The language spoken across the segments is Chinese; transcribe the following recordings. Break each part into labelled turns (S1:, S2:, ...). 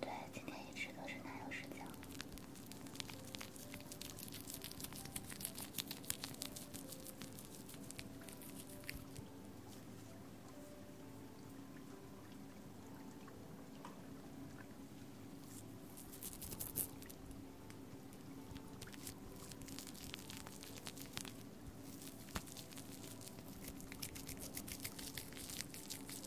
S1: 对，今天一直都是男友视角。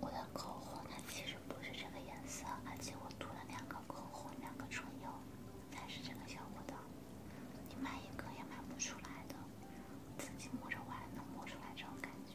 S1: 我的口红它其实不是这个颜色，而且我涂了两个口红、两个唇釉才是这个效果的。你买一个也买不出来的，自己摸着玩能摸出来这种感觉。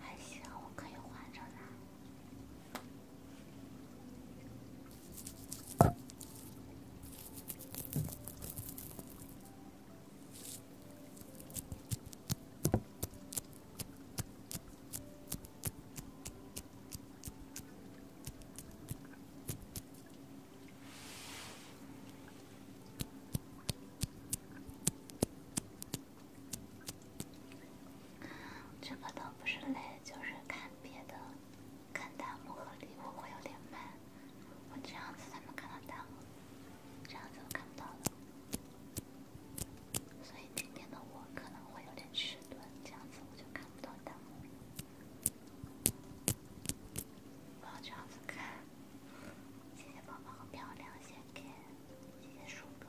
S1: 还行，我可以换着来。这个倒不是累，就是看别的。看弹幕和礼物会有点慢，我这样子才能看到弹幕，这样子我看不到的。所以今天的我可能会有点迟钝，这样子我就看不到弹幕。不要这样子看，谢谢宝宝漂亮鞋给，谢谢树哥。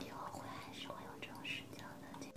S1: 以后会还是会用这种视角的机会。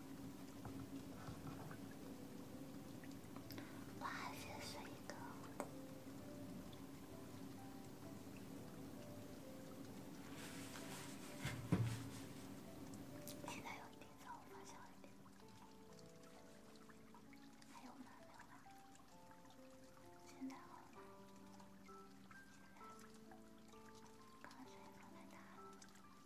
S1: 哇，先睡一个。现在有点早，我发笑一点。还有吗？没有了。现在好了。刚才水放太大了。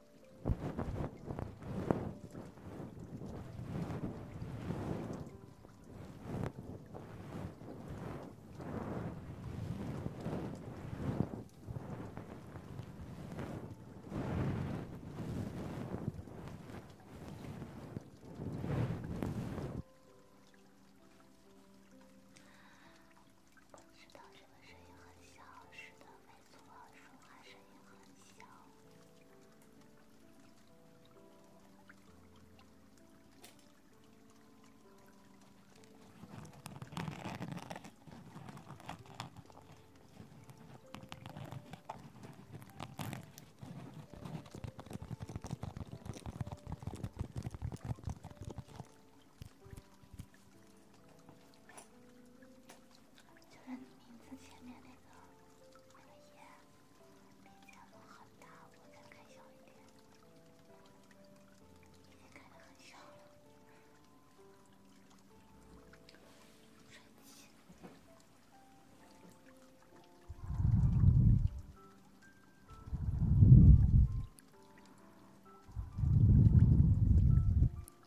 S1: 知道这个声音很小，是的。没错，说话声音很小。就是名字前面那个那个叶，面前很大，我再开小一点，已经开得很小了。神奇。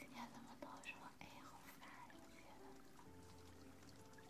S1: 今天怎么都是我？哎，好烦，这些的。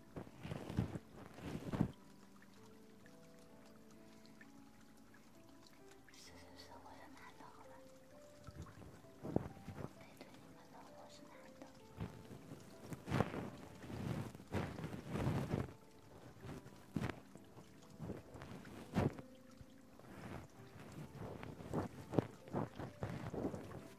S1: 是是是，我是男的，好吧？我背对着你们，我是男的。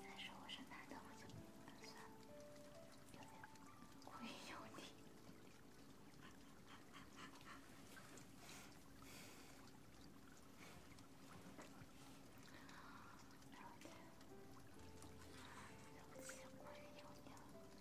S1: 再说我是男的，我就有点有点故意油腻。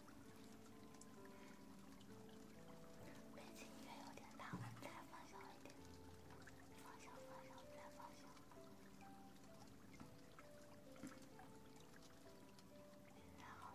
S1: 背景音乐有点大，再放小一点，放小，放小，再放小。现在好了。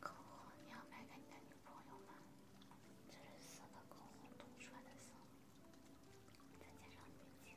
S1: 口红你要卖给你的女朋友吗？这是四个口红涂出来的色，再加上眼睛。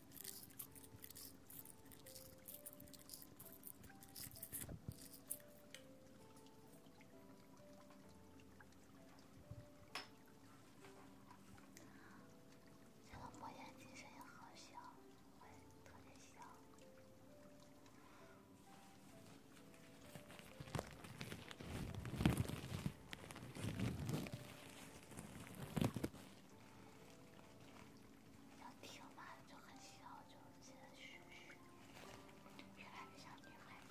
S1: 这个魔眼金身也好小，特别小。要听嘛，就很小，就接着续续，越来越像女孩子。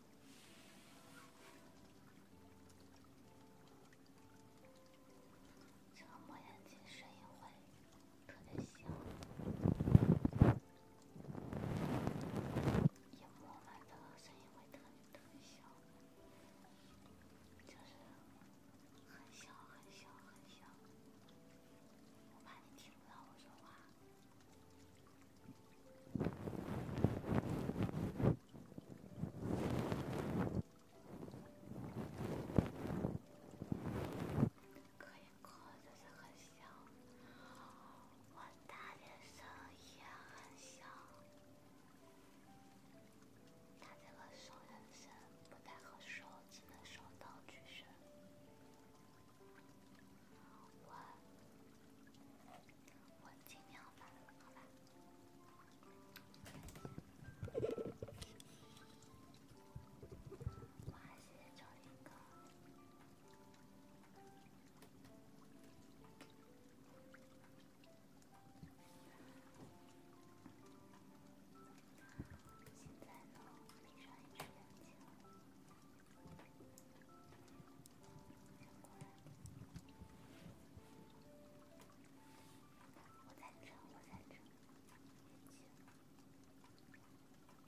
S1: 这个莫言姐声音会特别小，也莫文的，声音会特别特别小，就是很小很小很小，我怕你听不到我说话。可以靠，但是很小。我大点声音很小，它这个收人声不太好收，只能收到巨声。我我尽量吧，好吧。我还是找一个。现在呢，闭上一只眼睛。我在睁，我在睁。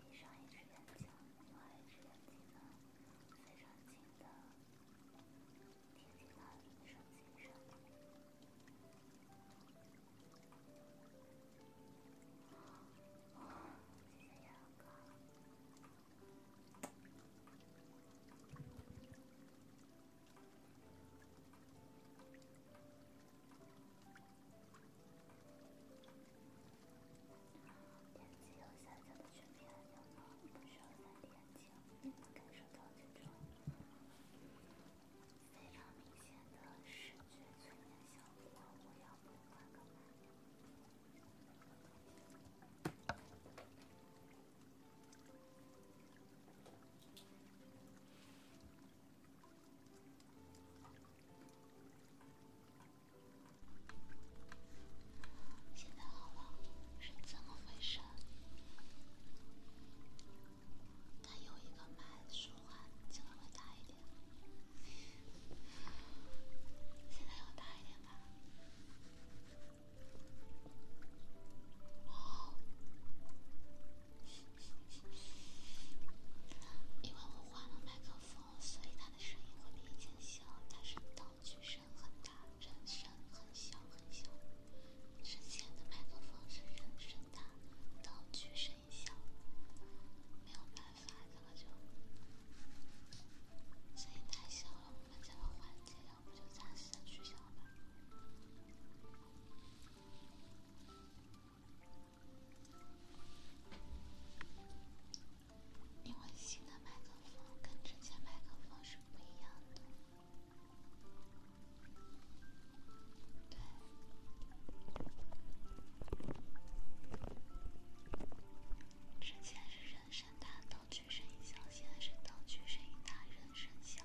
S1: 闭上一只眼睛，另外一只眼睛呢，非常近的贴近那女生身上。谢谢杨哥。点击右下角的全屏按钮，不需要戴眼镜，就能感受到这种非常明显的视觉催眠效果。我要不换个？现在好了，是怎么回事？再有一个麦，说话机会大一点。现在要大一点。因为我换了麦克风，所以他的声音会比以前小。但是道具声很大，人声很小很小。之前的麦克风是人声大，道具声小，没有办法。发，然后就声音太小了。我们这个环节，要不就暂时取消吧。因为新的麦克风跟之前麦克风是不一样的。对，之前是人声。它道具声音小，现在是道具声音大，人声小，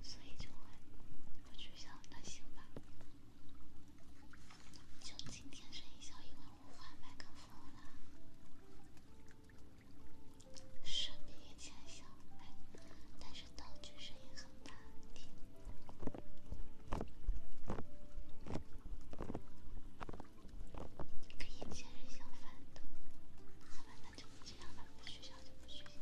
S1: 所以就会会取消。那行吧，就今天声音小，因为我换麦克风了，声音其实还小，但是道具声音很大。跟以前人相反的，好吧，那就这样吧，不取消就不取消。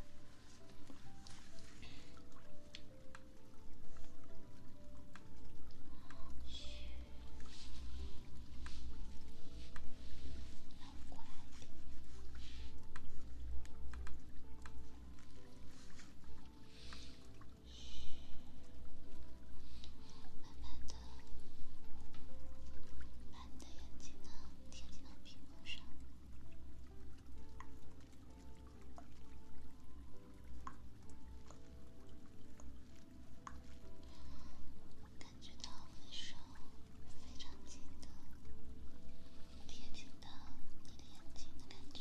S1: 乖。慢慢的，把你的眼睛呢贴近到屏幕上，感觉到我的手非常紧的贴近到你的眼睛的感觉。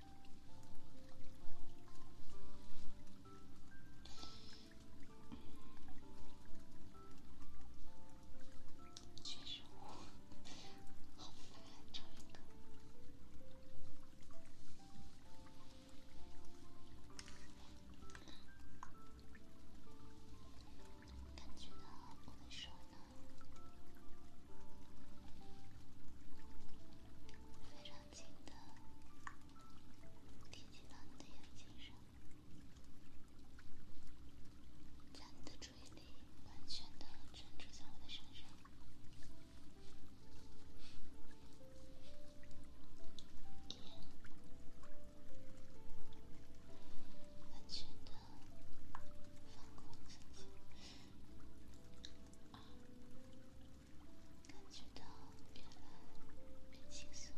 S1: 确实，好难找一个。非常。轻轻地贴近到你的眼睛上，将你的注意力完全地专注在我的身上，完全地放空自己。感觉到越来越轻松，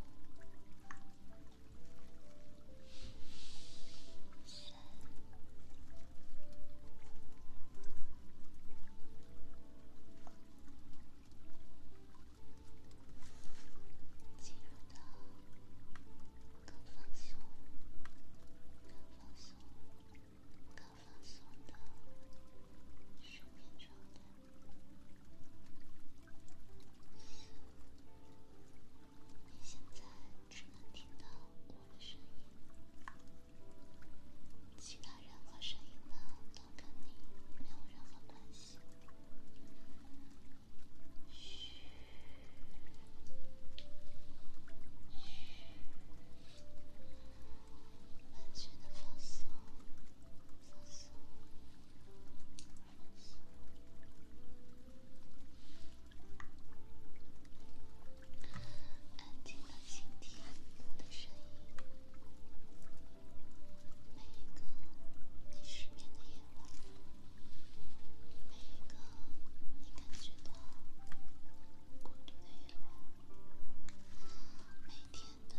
S1: 更放松的睡眠状态。四，你现在只能听到我的声音，其他任何声音呢都跟你没有任何关系。嘘，嘘。完全的放松，放松，放松。安静的倾听我的声音。每一个你失眠的夜晚，每一个你感觉到孤独的夜晚。每天的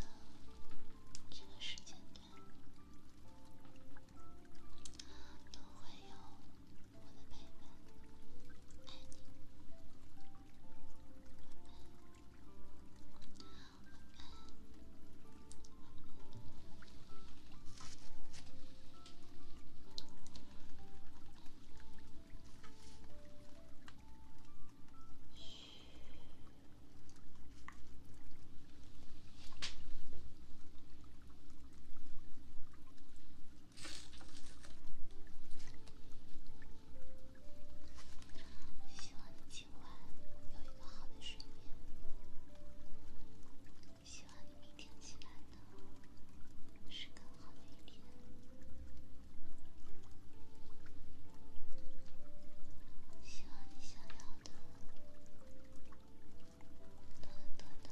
S1: 这个时间段，都会有我的陪伴，爱你。希望你今晚有一个好的睡眠。希望你明天起来呢是更好的一天。希望你想要的都能得到，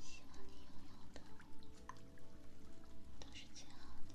S1: 希望你拥有的都是最好的。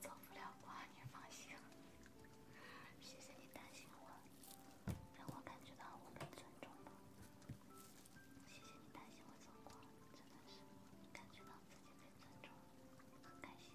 S1: 走不了光，你放心。谢谢你担心我，让我感觉到被尊重了。谢谢你担心我走光，真的是感觉到自己被尊重了，很开心。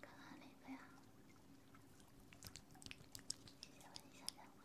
S1: 看看哪个呀？谢谢为你下载我呀。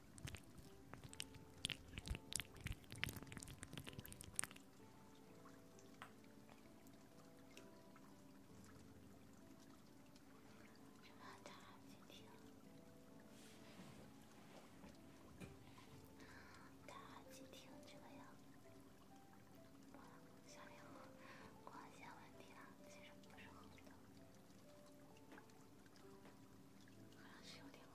S1: 这么大，接听。大耳机听这个要，下面光线问题了，其实不是好的。好像是有点红。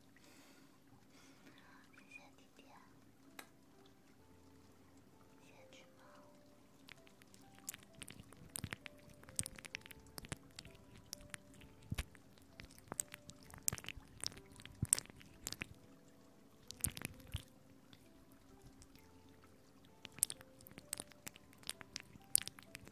S1: 谢谢弟弟，谢谢橘猫。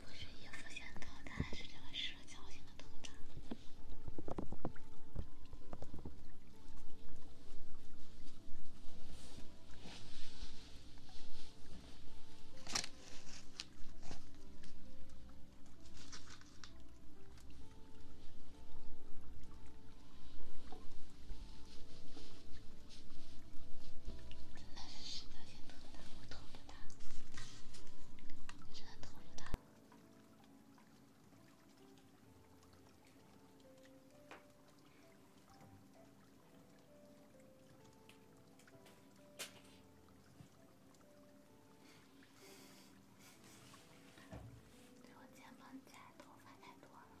S1: 不是衣服先疼，但还是这个手绞心的疼着。真的是神经病！我偷了他，是他偷了他。我肩膀太多发太多了。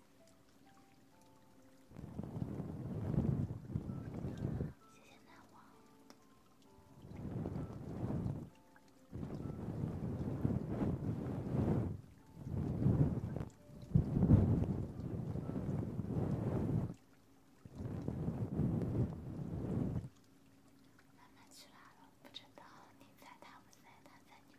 S1: 谢谢南王。了，不知道你猜他们在哪？在你？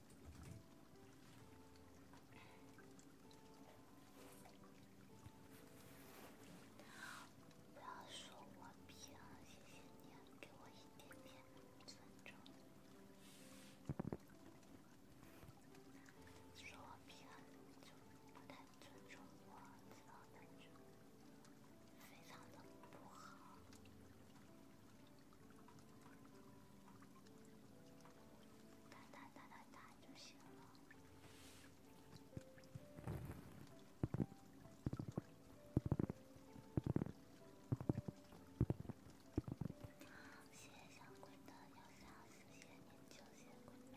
S1: 不要说我骗，谢谢你给我一点点尊重。说我骗，就太不尊重我了，感觉非常的不好。打打打打打就行了。谢谢小鬼的鸟香，谢谢你救谢鬼妹。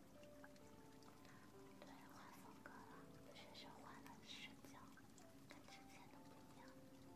S1: 对话风格了，学生换了视角，跟之前的不一样。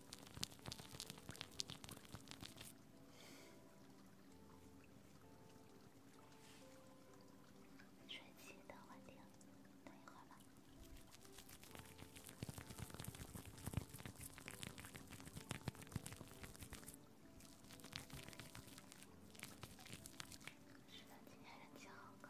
S1: 睡前听，等一会儿吧。是的，今天人气好高。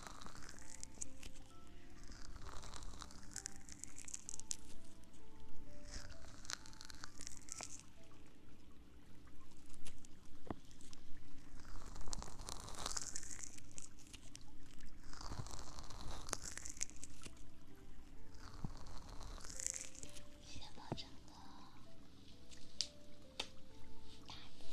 S1: 先保证个大气。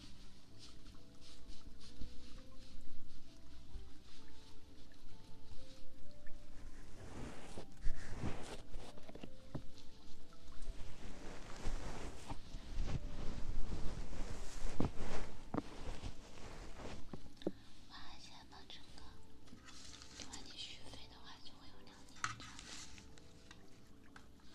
S1: 晚安，亲爱的程哥。如果你续费的话，就会有两年的。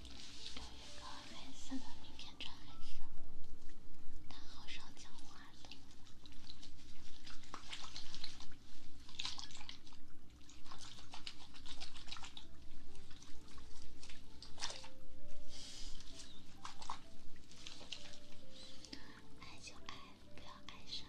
S1: 有一个黑色的名片，穿黑色。他好少讲话的。爱就爱，不要爱上。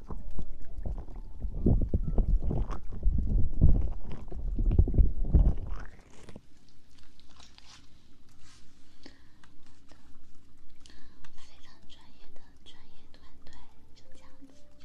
S1: 非常专业的专业团队，就这样子就。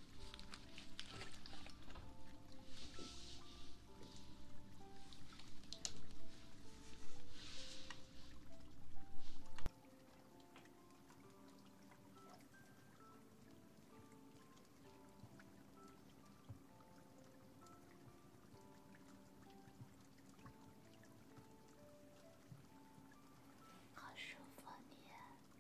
S1: 好舒服，你。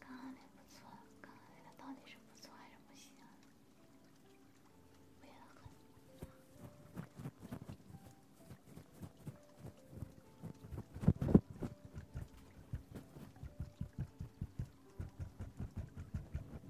S1: 刚刚那不错，刚刚那到底是不错还是不行？我也很。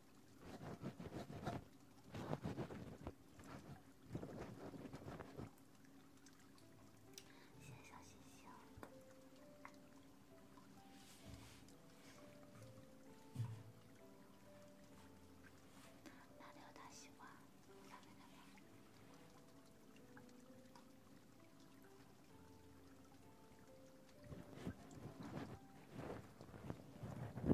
S1: 小心心，哪里有大西瓜？对，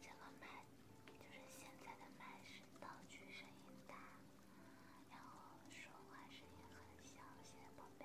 S1: 这个麦就是现在的麦是道具声音大，然后说话声音很小，谢谢宝贝。